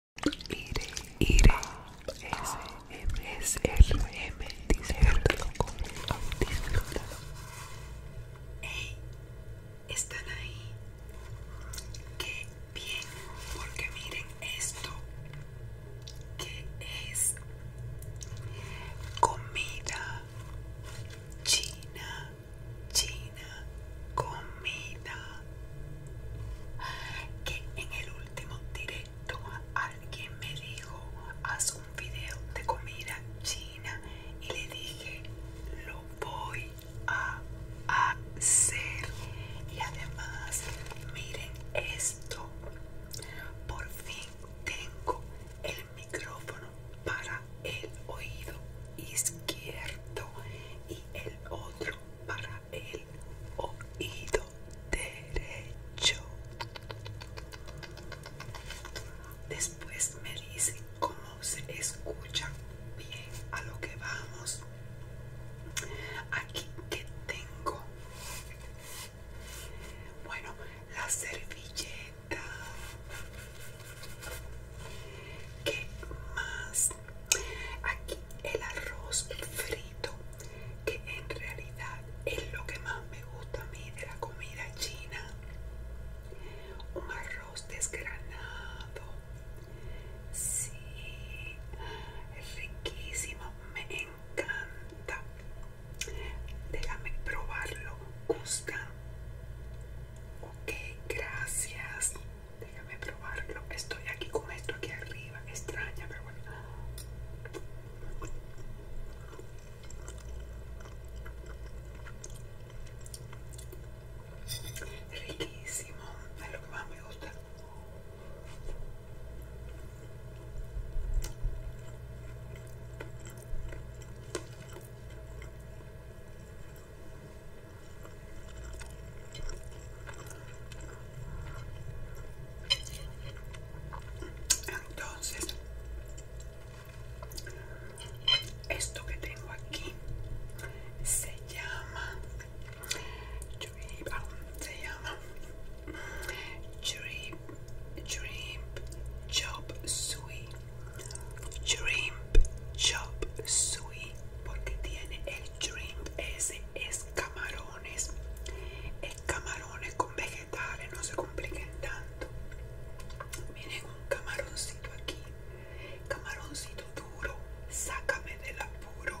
Iré, M, d, disfrútalo el disfrútalo. Hey, ¿están ahí? Qué bien, porque miren esto. ¿Qué es? Comida, China, China, comida que en el último directo alguien me dijo haz un video de comida china y le dije lo voy a hacer y además miren esto por fin tengo el micrófono para el oído izquierdo y el otro para el oído derecho. Después me dice cómo se escucha bien a lo que vamos. Aquí que tengo. Bueno, la servilleta. ¿Qué más? Aquí el arroz frito, que en realidad es lo que más me gusta a mí de la comida china. Un arroz desgranado. Sí, riquísimo, me encanta. Déjame probarlo, gusta. Ok, gracias. Déjame probarlo. Estoy aquí con esto aquí arriba. Extraña, pero bueno. Riquísimo. Es lo que más me gusta. Entonces, esto que tengo aquí se llama, se llama Dream, Dream Chop suey Dream Chop suey porque tiene el shrimp ese es camarones es camarones con vegetales no se compliquen tanto miren un camaroncito aquí camaroncito duro sácame del apuro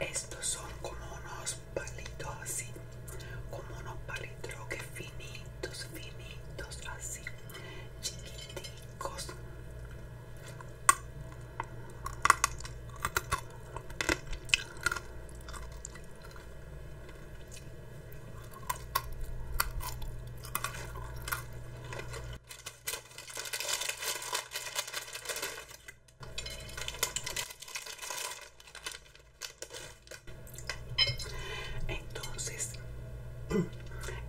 Estos son como unos palitos así, como unos palitos que finitos, finitos así, chiquiticos. Entonces,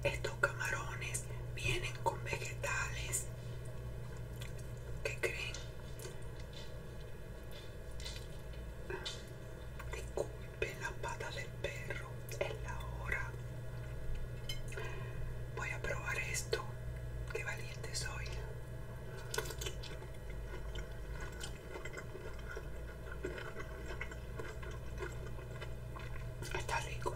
estos camarones vienen con vegetales. ¿Qué creen? Disculpen la pata del perro, es la hora. Voy a probar esto. Qué valiente soy. Está rico.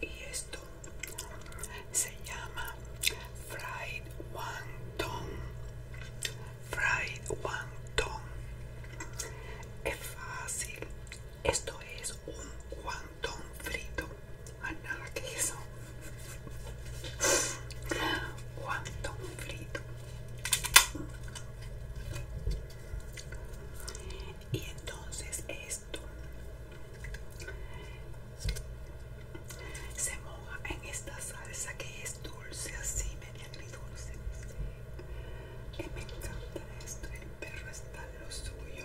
Y esto se llama fried wonton. Fried wonton. Es fácil. Esto es un wonton frito. Ah, eso queso frito y entonces esto se moja en esta salsa que es dulce así media dulce y eh, me encanta esto el perro está en lo suyo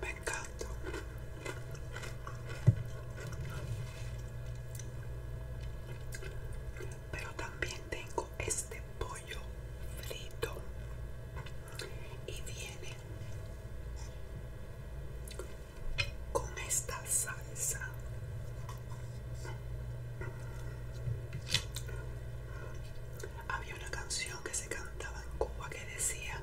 Me encanta. Pero también tengo este pollo frito y viene con esta salsa había una canción que se cantaba en Cuba que decía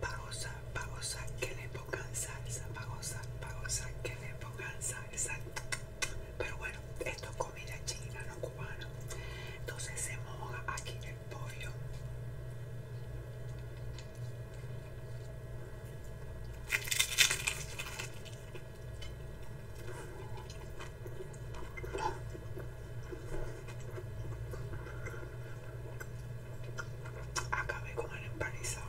pagosa, pagosa, que le pongan salsa pagosa, pagosa, que le pongan salsa pero bueno, esto Mira china, no cubano Entonces se moja aquí en el pollo. Acabé con el empanizado.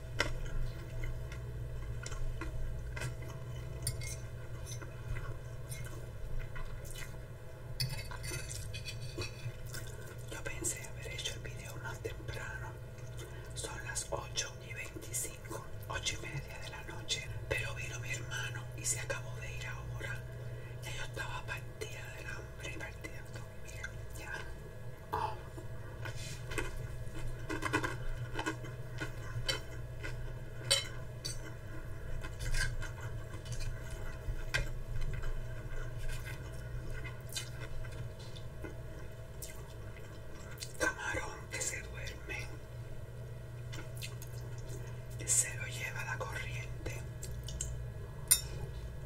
Yo pensé haber hecho el video más temprano. Son las 8 y 25, 8 y media de la noche. Pero vino mi hermano y se acabó de ir ahora. Ya yo estaba partida del hambre y partida de Camarón que se duerme se lo lleva la corriente.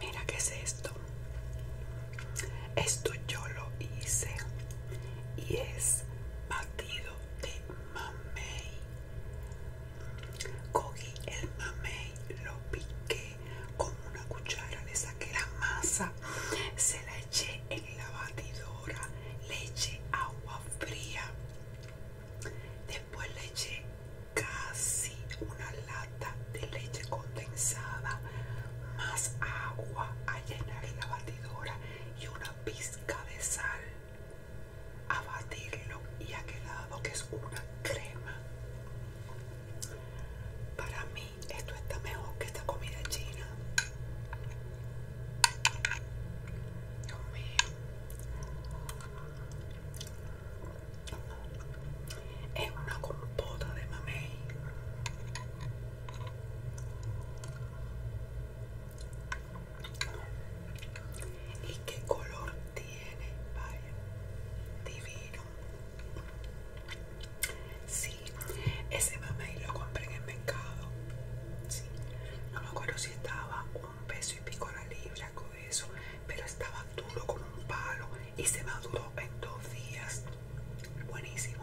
Mira qué es esto. Esto yo lo hice y es batido de mamey. Cogí el mamey, lo piqué con una cuchara, le saqué la masa, se la eché en la batidora leche agua fría después leche casi una lata de leche condensada más agua a llenar la batidora y una pizca de sal a batirlo y ha quedado que es una crema para mí esto está mejor que esta comida china es una compota de mamey. ¿Y qué color tiene? Vaya, divino. Si ese mamey lo compré en el mercado. No me acuerdo si estaba un peso y pico la libra con eso, pero estaba duro con un palo y se maduró en dos días. Buenísimo.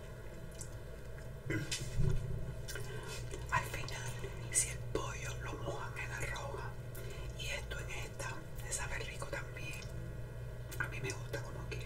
Al final, si el pollo lo mojan en arroja y esto en esta, se sabe rico también. A mí me gusta como quiera.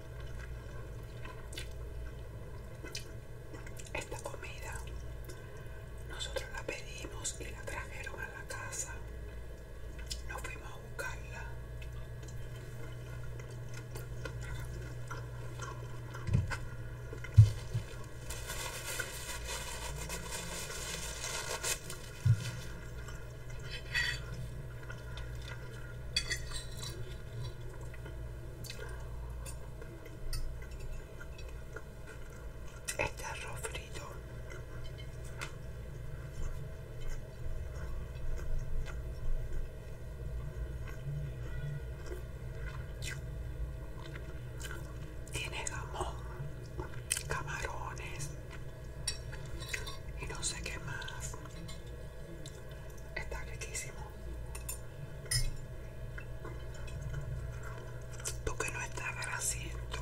Esta comida nosotros la pedimos y la trajeron a la casa. Nos fuimos a buscarla. Este arroz frito tiene jamón, camarones y no sé qué más. Está riquísimo. Porque no está grasiento.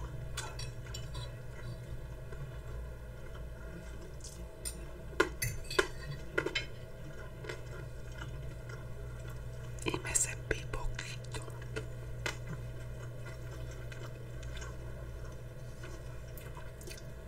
Y me sentí poquito.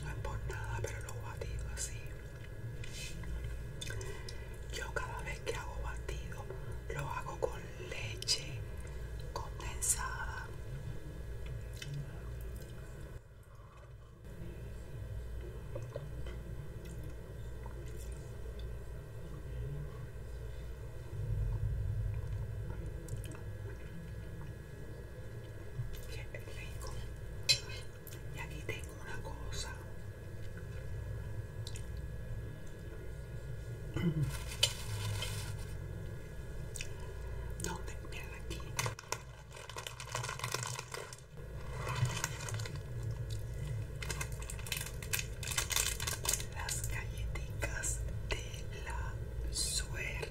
No es por nada, pero lo batido así. Yo cada vez que hago batido, lo hago con leche condensada. Y aquí tengo una cosa ¿Dónde? te aquí. Las galletitas de la suerte.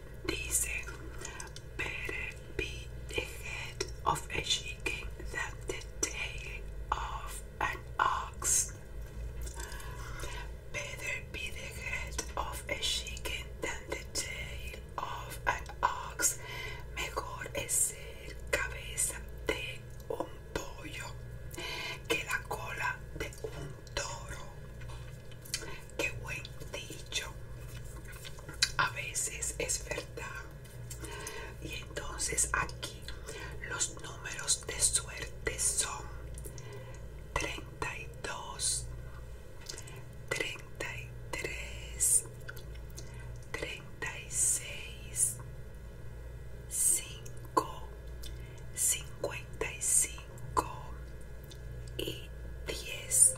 dice, better be the head of a chicken than the tail of an ox. Better be the head of a chicken than the tail of an ox. Mejor es ser cabeza de un pollo que la cola de un toro. Qué buen dicho. A veces es verdad. Y entonces aquí los números de suerte son 32, 33, 36, 5, 55 y 10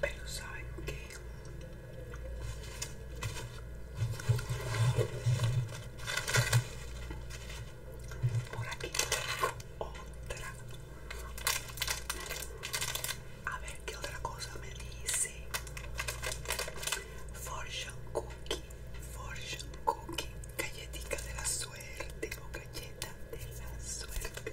pero saben qué? por aquí tengo otra a ver qué otra cosa me dice fortune cookie fortune cookie galletica de la suerte o galleta de la suerte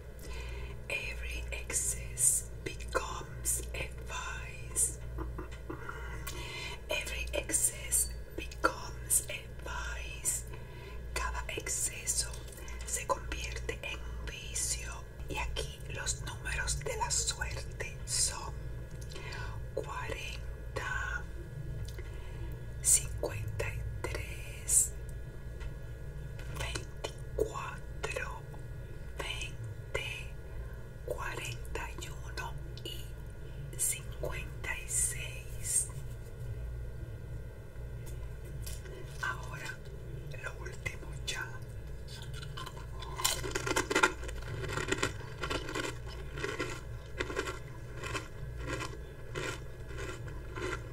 Every excess becomes advice. Every excess becomes advice. Cada exceso se convierte en un vicio. Y aquí los números de la suerte son 40, 53, 20. Cuatro, veinte, cuarenta y uno y cincuenta y seis. Ahora lo último ya.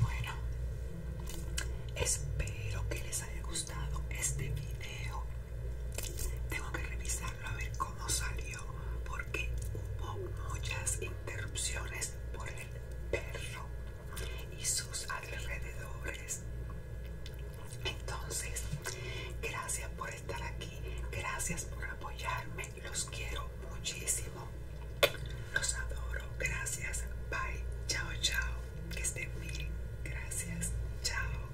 Bueno, espero que les haya gustado este video. Tengo que revisarlo a ver cómo salió porque hubo muchas interrupciones por el perro y sus alrededores. Entonces, gracias por estar aquí, gracias por apoyarme, los quiero muchísimo, los adoro, gracias, bye, chao, chao. Que estén bien. Gracias. Chao.